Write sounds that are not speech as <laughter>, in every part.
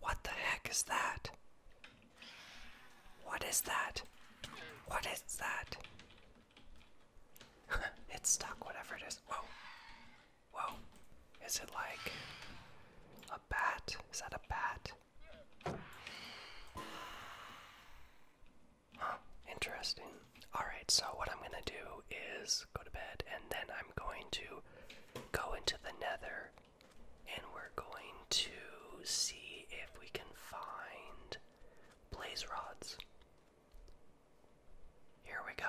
What the heck is that? What is that? What is that? <laughs> it's stuck, whatever it is. Whoa. Whoa. Is it like a bat? Is that a bat? Huh, interesting. Alright, so what I'm gonna do is go to bed and then I'm going to go into the nether and we're going to see if we can find blaze rods. Here we go.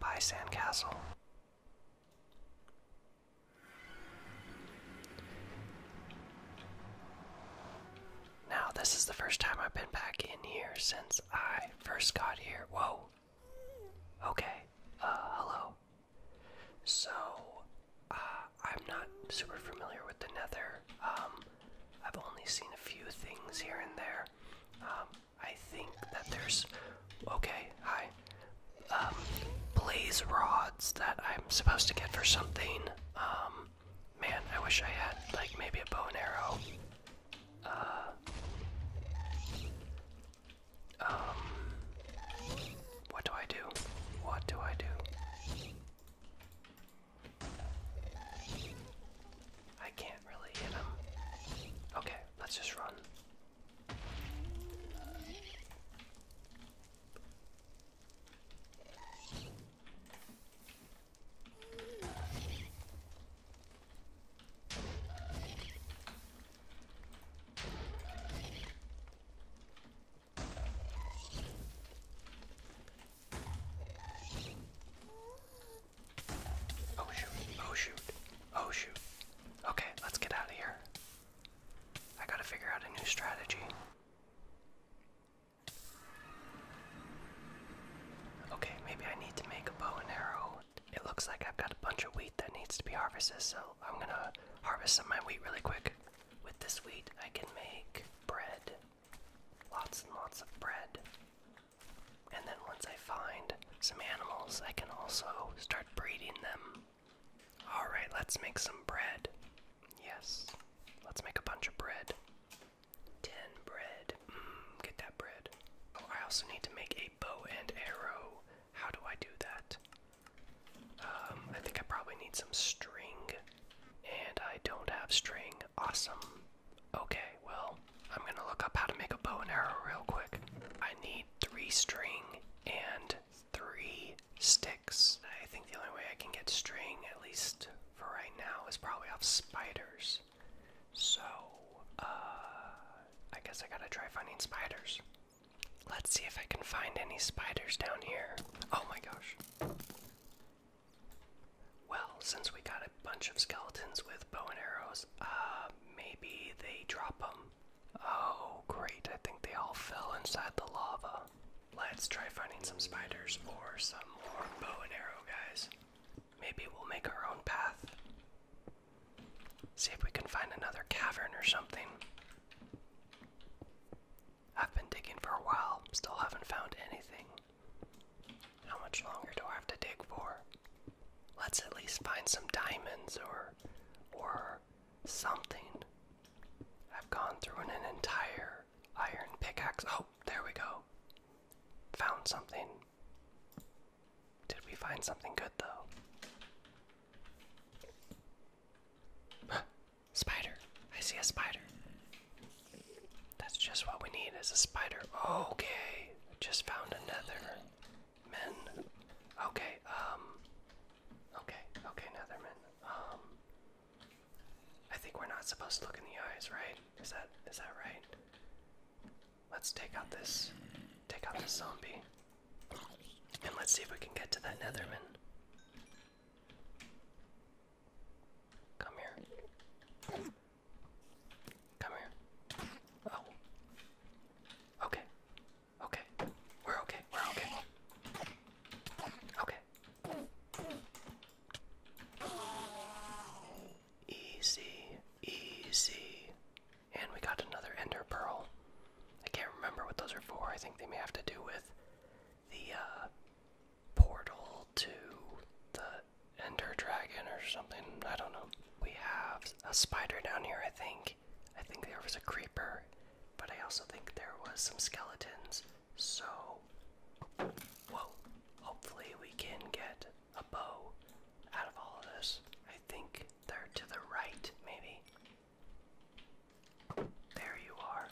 By Sandcastle. Now, this is the first time I've been back in here since I first got here. Whoa. Okay, uh, hello. So, uh, I'm not super familiar with the Nether. Um, I've only seen a few things here and there. Um, I think that there's. Okay, hi. Um, blaze rods that I'm supposed to get for something. man, I wish I had, like, maybe a bow and arrow. Uh, um, what do I do? What do I do? I can't really hit him. Okay, let's just run. Oh shoot, oh shoot, oh shoot. Okay, let's get out of here. I gotta figure out a new strategy. Okay, maybe I need to make a bow and arrow. It looks like I've got a bunch of wheat that needs to be harvested, so I'm gonna harvest some of my wheat really quick. With this wheat, I can make bread. Lots and lots of bread. And then once I find some animals, I can also start breeding them. Alright, let's make some bread. Yes, let's make a bunch of bread. Ten bread. Mm, get that bread. Oh, I also need to make a bow and arrow. How do I do that? Um, I think I probably need some string. And I don't have string. Awesome. Okay, well, I'm gonna look up how to make a bow and arrow real quick. I need three string and three sticks. I think the only way I can get string, at least for right now, is probably off spiders. So, uh, I guess I gotta try finding spiders. Let's see if I can find any spiders down here. Oh my gosh. Well, since we got a bunch of skeletons with bow and arrows, uh, maybe they drop them. Oh, great. I think they all fell inside the lava. Let's try finding some spiders or some more bow and arrow guys. Maybe we'll make our own path. See if we can find another cavern or something. I've been digging for a while, still haven't found anything. How much longer do I have to dig for? Let's at least find some diamonds or or something. I've gone through an entire iron pickaxe. Oh, there we go. Found something. Did we find something good though? spider. I see a spider. That's just what we need is a spider. Okay. Just found another men. Okay, um Okay, okay, Netherman. Um I think we're not supposed to look in the eyes, right? Is that is that right? Let's take out this take out this zombie. And let's see if we can get to that Netherman. Come here. Come here. Oh. Okay. Okay. We're okay. We're okay. Okay. Easy, easy. And we got another Ender Pearl. I can't remember what those are for. I think they may have to do with the uh, portal to the Ender Dragon or something. I don't know. We have a spider down here, I think. I think there was a creeper, but I also think there was some skeletons. So, whoa. Hopefully, we can get a bow out of all of this. I think they're to the right, maybe. There you are.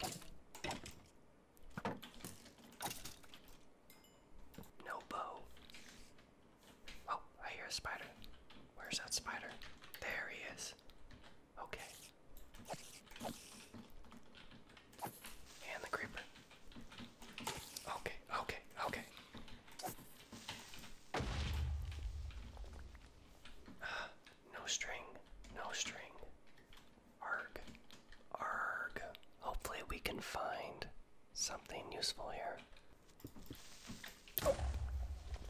No bow. Oh, I hear a spider. Where's that spider? There he is. Okay. And the creeper. Okay, okay, okay. <gasps> no string, no string. Arg, arg. Hopefully, we can find something useful here.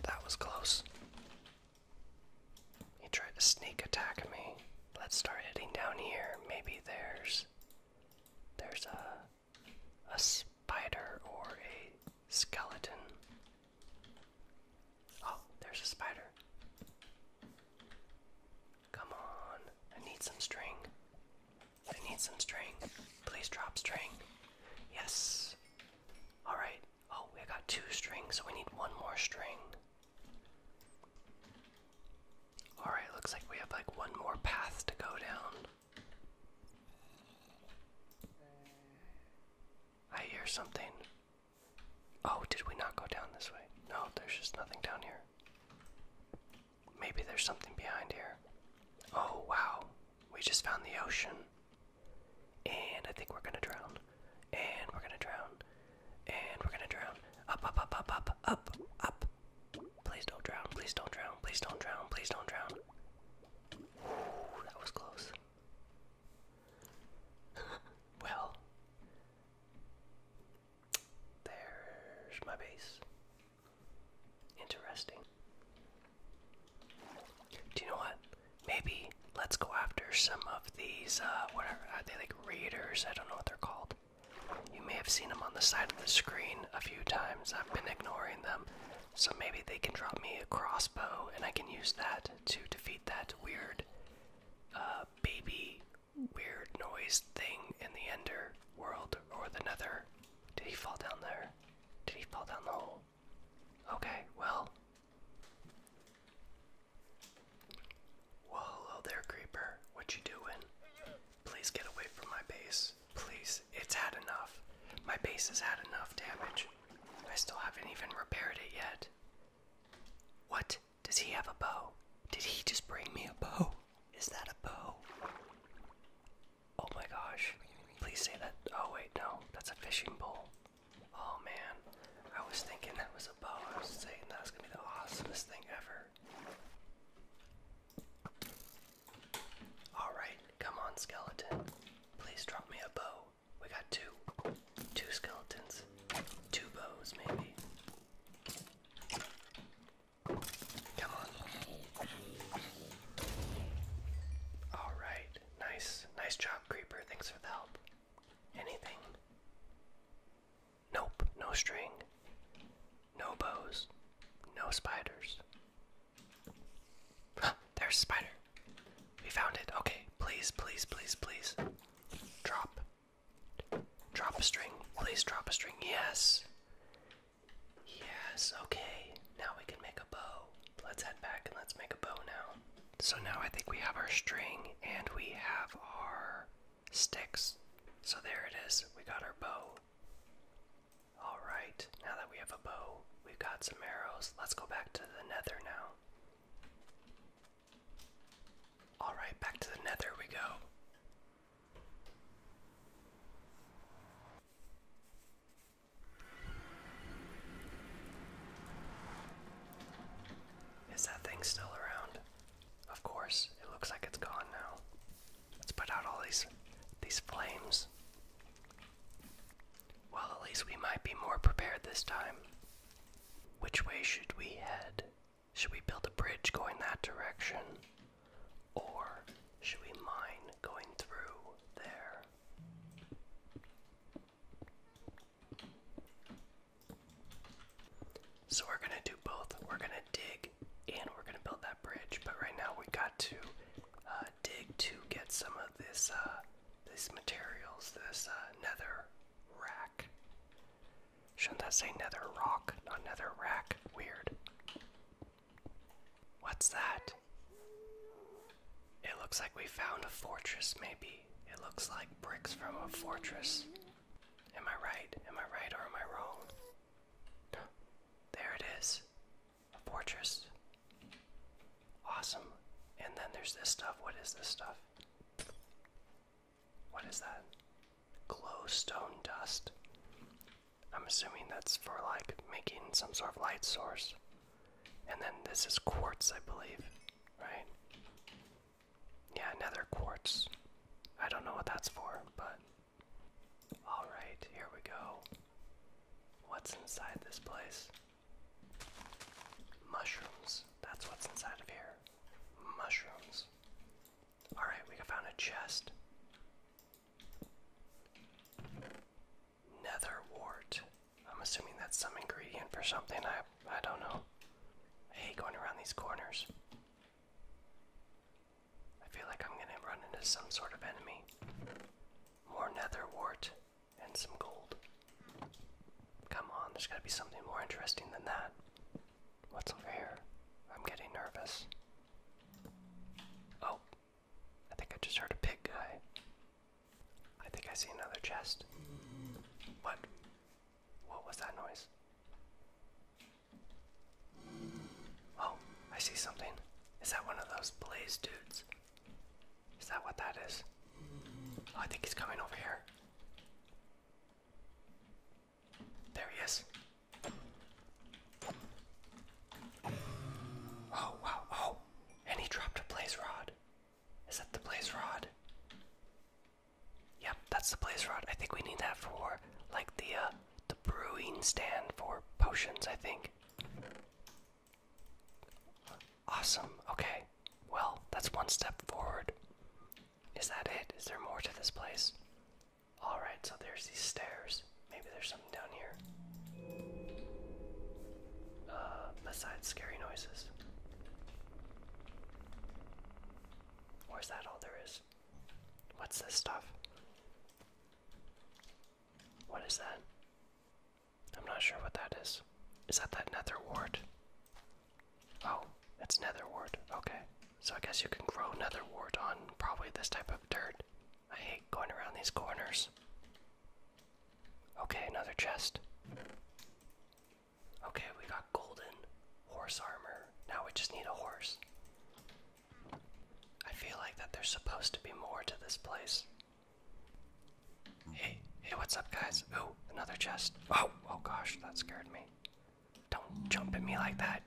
that was close. He tried to sneak attack me. Let's start heading down here. Maybe there's there's a, a spider or a skeleton. Oh, there's a spider. Come on. I need some string. I need some string. Please drop string. Yes. Alright. Oh, we got two strings, so we need one more string. Alright, looks like we have like one more path to go down. I hear something. Oh, did we not go down this way? No, there's just nothing down here. Maybe there's something behind here. Oh, wow. We just found the ocean. And I think we're gonna drown. And we're gonna drown. And we're gonna drown. Up, up, up, up, up, up, up. Please don't drown, please don't drown, please don't drown, please don't drown. Ooh, that was close. <laughs> well, there's my base. Interesting. Do you know what? Maybe let's go after some of these, uh, what are, are they like raiders? I don't know what they're called. You may have seen them on the side of the screen a few times. I've been ignoring them. So maybe they can drop me a crossbow and I can use that to defeat that weird uh, baby weird noise thing in the ender world or the nether. Did he fall down there? Did he fall down the hole? Okay, well. Well, hello there, creeper. What you doing? Please get away from my base. Please, it's had enough. My base has had enough damage. I still haven't even repaired it yet. What? Does he have a bow? Did he just bring me a bow? Is that a bow? Oh my gosh. Please say that. Oh, wait, no. That's a fishing pole. Oh man. I was thinking that was a bow. I was saying that was gonna be the awesomest thing ever. Alright, come on, skeleton. Please drop me a bow. We got two. Two skeletons. Two bows, maybe. Come on. Alright, nice. Nice job, Creeper. Thanks for the help. Anything. Nope, no string. No bows. No spiders. Huh, there's a spider. We found it. Okay, please, please, please, please. Drop. Drop a string. Please drop a string. Yes. Yes, okay. Now we can make a bow. Let's head back and let's make a bow now. So now I think we have our string and we have our sticks. So there it is. We got our bow. Alright, now that we have a bow, we've got some arrows. Let's go back to the nether now. Alright, back to the nether we go. Is that thing still around? Of course, it looks like it's gone now. Let's put out all these these flames. Well, at least we might be more prepared this time. Which way should we head? Should we build a bridge going that direction? Or should we mine going through there? So we're gonna do both. We're gonna dig and we're gonna build that bridge. But right now we got to uh, dig to get some of this uh, these materials. This uh, nether rock. Shouldn't I say nether rock, not nether rack? Weird. What's that? It looks like we found a fortress, maybe. It looks like bricks from a fortress. Am I right? Am I right or am I wrong? There it is. A fortress. Awesome. And then there's this stuff. What is this stuff? What is that? Glowstone dust. I'm assuming that's for like making some sort of light source. And then this is quartz, I believe, right? Yeah, nether quartz. I don't know what that's for, but. Alright, here we go. What's inside this place? Mushrooms. That's what's inside of here. Mushrooms. Alright, we found a chest. Nether wart. I'm assuming that's some ingredient for something. I I don't know. I hate going around these corners. I feel like I'm gonna run into some sort of enemy. More nether and some gold. Come on, there's gotta be something more interesting than that. What's over here? I'm getting nervous. Oh, I think I just heard a pig guy. I think I see another chest. What? What was that noise? Oh, I see something. Is that one of those blaze dudes? Is that what that is? Oh, I think he's coming over here. There he is. Oh, wow. Oh, and he dropped a blaze rod. Is that the blaze rod? Yep, that's the place, rod. I think we need that for like the uh, the brewing stand for potions. I think. Awesome. Okay. Well, that's one step forward. Is that it? Is there more to this place? All right. So there's these stairs. Maybe there's something down here. Uh, besides scary noises. Where's that all there is? What's this stuff? What is that? I'm not sure what that is. Is that that nether wart? Oh, it's nether wart. Okay. So I guess you can grow nether wart on probably this type of dirt. I hate going around these corners. Okay, another chest. Okay, we got golden horse armor. Now we just need a horse. I feel like that there's supposed to be more to this place. Hey, hey, what's up, guys? Oh, another chest. Oh, oh gosh, that scared me. Don't jump at me like that.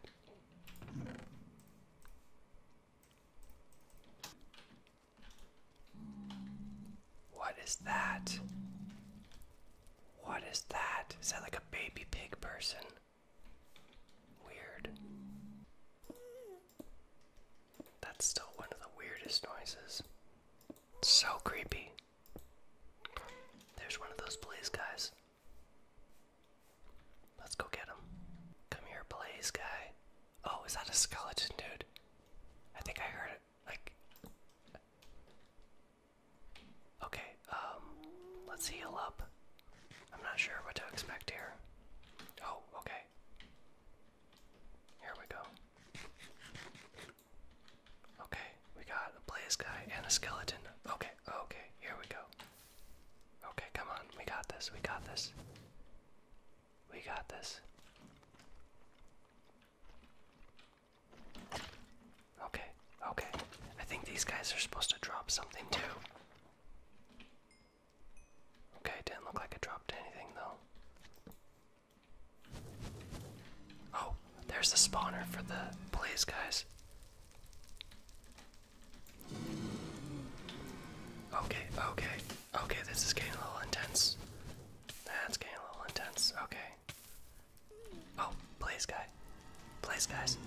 What is that? What is that? Is that like a baby pig person? Weird. That's still one of the weirdest noises. It's so creepy. There's one of those blaze guys. Let's go get him. Come here, blaze guy. Oh, is that a skeleton, dude? I think I heard it. Like, Okay, um, let's heal up. I'm not sure what to expect here. Oh, okay. Here we go. Okay, we got a blaze guy and a skeleton. Okay, okay, here we go. Okay, come on, we got this, we got this. We got this. Okay, okay. I think these guys are supposed to drop something too. Okay, didn't look like it dropped anything though. Oh, there's the spawner for the blaze guys. Okay, okay, okay, this is getting a little intense. That's getting a little intense. Okay. Oh, please, guy. Please, guys.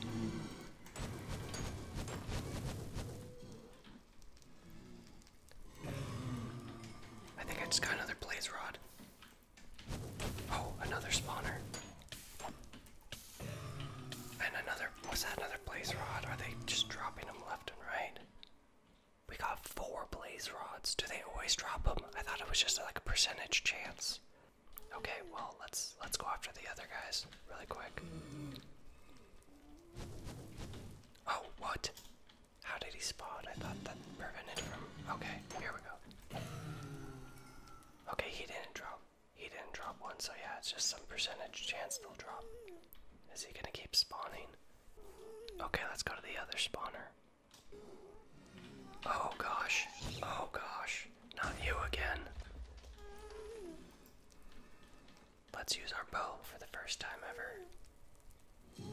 I think I just got another blaze rod. Oh, another spawner. And another, was that another blaze rod? Are they just dropping them left and right? We got four blaze rods? Do they always drop them? I thought it was just like a percentage chance. Okay, well let's let's go after the other guys really quick. Oh, what? How did he spawn? I thought that prevented from. Okay, here we go. Okay, he didn't drop. He didn't drop one, so yeah, it's just some percentage chance they'll drop. Is he gonna keep spawning? Okay, let's go to the other spawner. Oh gosh. Oh gosh. Not you again. Let's use our bow for the first time ever.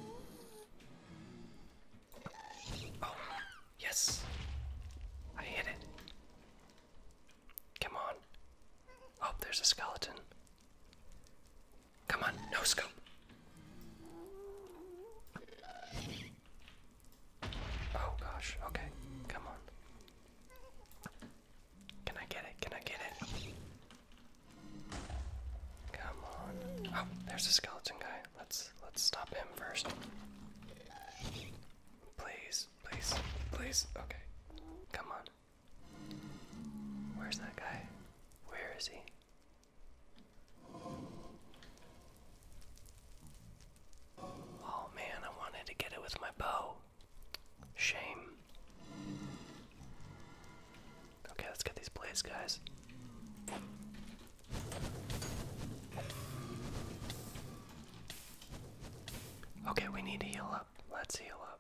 Oh, yes. I hit it. Come on. Oh, there's a skeleton. Come on, no scope. Oh gosh, okay, come on. Can I get it? Can I get it? Come on. Oh, there's a skeleton guy. Let's let's stop him first. Please, please, please. Okay. Come on. Where's that guy? Where is he? Oh man, I wanted to get it with my bow. Shame. Okay, let's get these blades, guys. Okay, we need to heal up. Let's heal up.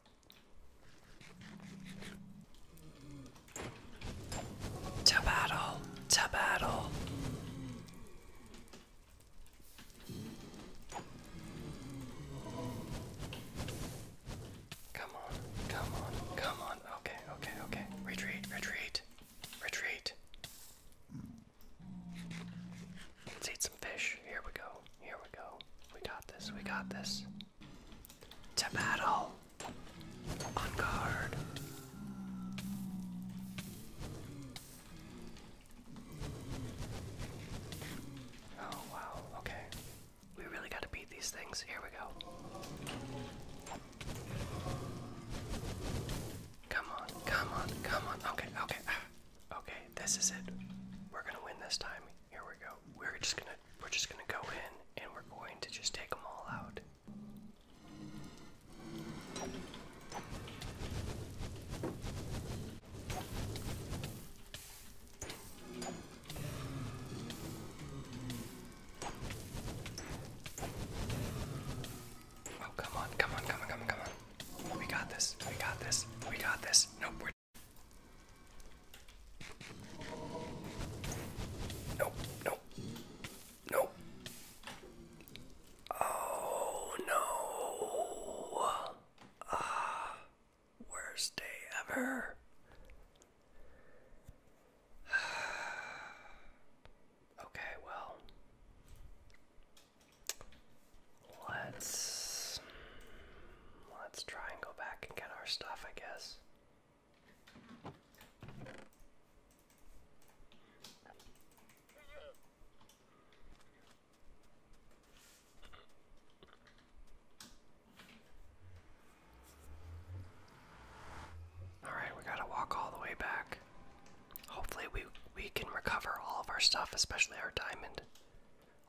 To battle, to battle. Come on, come on, come on. Okay, okay, okay. Retreat, retreat, retreat. Let's eat some fish. Here we go, here we go. We got this, we got this. To battle. On guard. Oh wow, okay. We really gotta beat these things. Here we go. Come on, come on, come on. Okay, okay. <sighs> Okay, this is it. We're gonna win this time. Here we go. We're just gonna we're just gonna go in and we're going to just take them all out. Oh, come on, come on, come on, come on, come on. We got this, we got this, we got this. Nope, we're. Nope, nope, nope. Oh no. Ah, worst day ever. <sighs> okay, well. Let's let's try and go back and get our stuff, I guess. All right, we gotta walk all the way back. Hopefully, we we can recover all of our stuff, especially our diamond,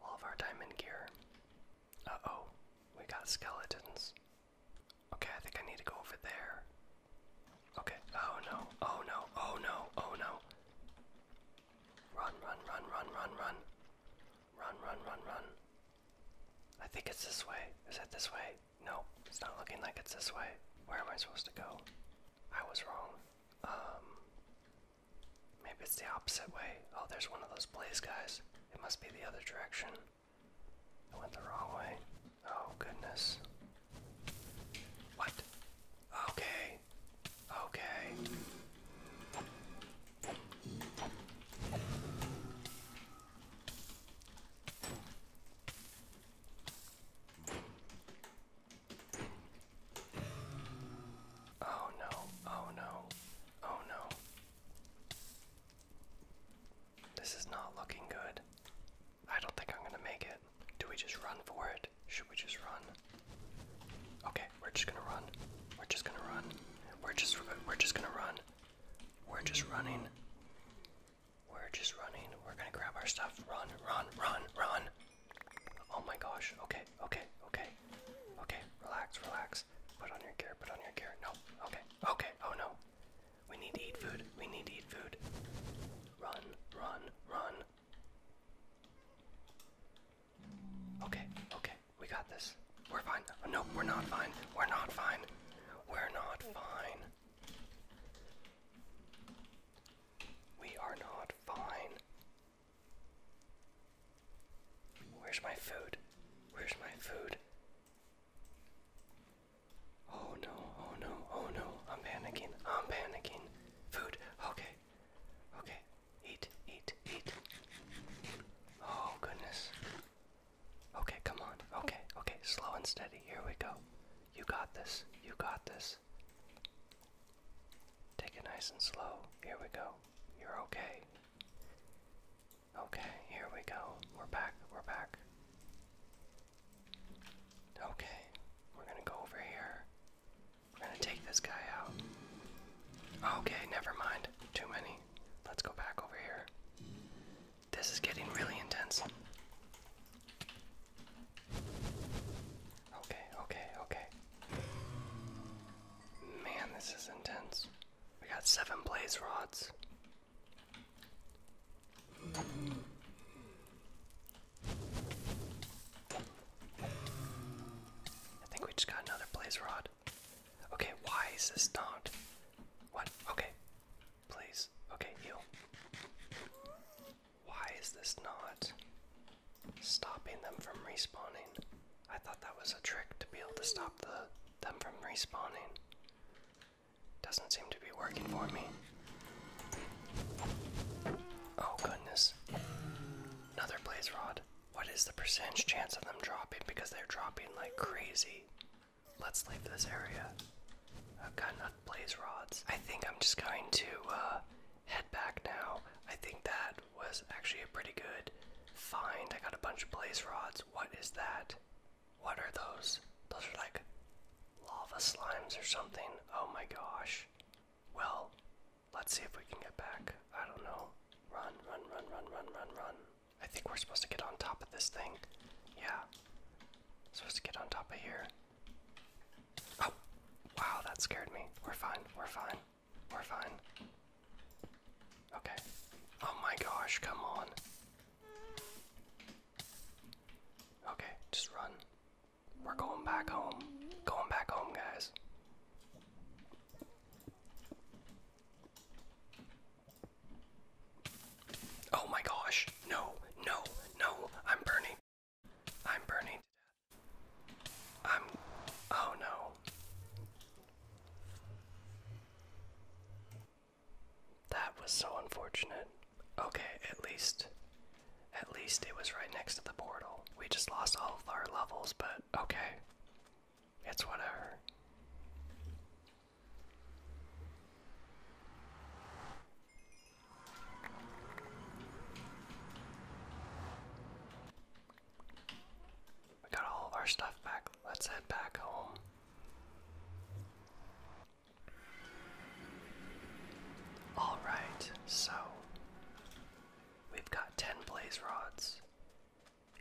all of our diamond gear. Uh oh, we got skeletons. Okay, I think I need to go over there. Okay, oh no, oh no, oh no, oh no. Run, run, run, run, run, run. Run, run, run, run. I think it's this way. Is it this way? No, it's not looking like it's this way. Where am I supposed to go? I was wrong. Um, maybe it's the opposite way. Oh, there's one of those blaze guys. It must be the other direction. I went the wrong way. Oh, goodness. What? Okay. Okay. Oh no, oh no, oh no. This is not looking good. I don't think I'm gonna make it. Do we just run for it? Should we just run? Okay, we're just gonna run. We're just gonna run. We're just we're just gonna run. We're just running. We're just running. We're gonna grab our stuff. Run, run, run, run. Oh my gosh. Okay, okay, okay. Okay, relax, relax. Put on your gear, put on your gear. No, okay. Okay, oh no. We need to eat food. We need to eat food. Run, run, run. Okay, okay, we got this. We're fine. Uh, no, we're not fine. We're not fine. We're not fine. We are not fine. Where's my food? Where's my food? Oh no, oh no, oh no, I'm panicking, I'm panicking. Food, okay, okay, eat, eat, eat. Oh goodness. Okay, come on, okay, okay, slow and steady, here we go. You got this, you got this. Take it nice and slow, here we go, you're okay. Okay, here we go. We're back, we're back. Okay, we're gonna go over here. We're gonna take this guy out. Okay, never mind. Too many. Let's go back over here. This is getting really intense. Okay, okay, okay. Man, this is intense. We got seven blaze rods. I think we just got another blaze rod. Okay, why is this not? What? Okay. Please. Okay, heal. Why is this not stopping them from respawning? I thought that was a trick to be able to stop the them from respawning. Doesn't seem to be working for me. Oh goodness. Another blaze rod. What is the percentage chance of them dropping? Because they're dropping like crazy. Let's leave this area. I've got enough blaze rods. I think I'm just going to uh, head back now. I think that was actually a pretty good find. I got a bunch of blaze rods. What is that? What are those? Those are like lava slimes or something. Oh my gosh. Well, let's see if we can get back. I don't know. Run, run, run, run, run, run, run. I think we're supposed to get on top of this thing. Yeah. Supposed to get on top of here. Oh! Wow, that scared me. We're fine. We're fine. We're fine. Okay. Oh my gosh, come on. Okay, just run. We're going back home. Going back home, guys. Oh my gosh. No, no, no. I'm burning. I'm burning to death. I'm. Oh no. That was so unfortunate. Okay, at least at least it was right next to the portal. We just lost all of our levels, but okay. It's whatever. We got all of our stuff back. Let's head back home. Alright, so we've got 10 blaze rods,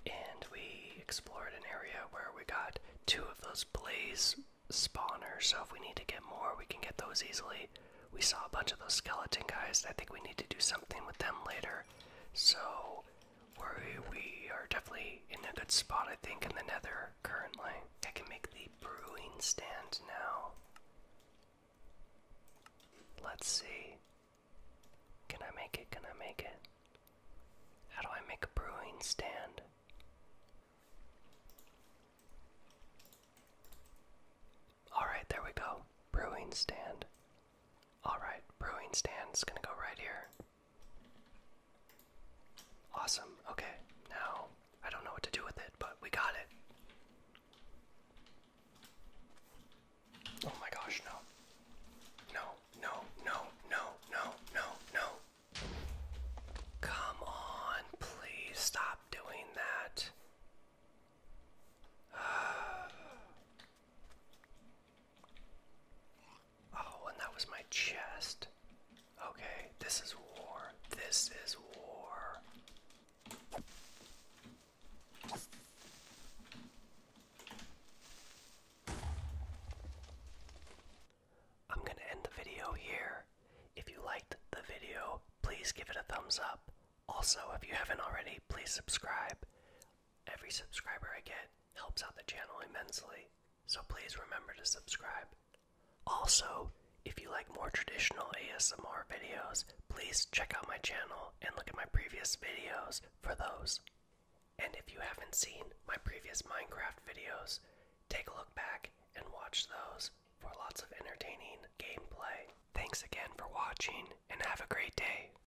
and we explored an area where we got two of those blaze spawners. So if we need to get more, we can get those easily. We saw a bunch of those skeleton guys. I think we need to do something with them later. So where we are definitely in a good spot, I think, in the nether currently. I can make the brewing stand now. Let's see. Can I make it? Can I make it? How do I make a brewing stand? Alright, there we go. Brewing stand. Alright, brewing stand's gonna go right here. Awesome. Okay, now I don't know what to do with it, but we got it. Oh my gosh, no. No, no, no, no, no, no, Come on, please stop doing that. <sighs> <sighs> Oh, and that was my chest. Okay, this is war. This is war. I'm going to end the video here. If you liked the video, please give it a thumbs up. Also, if you haven't already, please subscribe. Every subscriber I get helps out the channel immensely, so please remember to subscribe. Also, if you like more traditional ASMR videos, please check out my channel and look at my previous videos for those. And if you haven't seen my previous Minecraft videos, take a look back and watch those for lots of entertaining gameplay. Thanks again for watching and have a great day.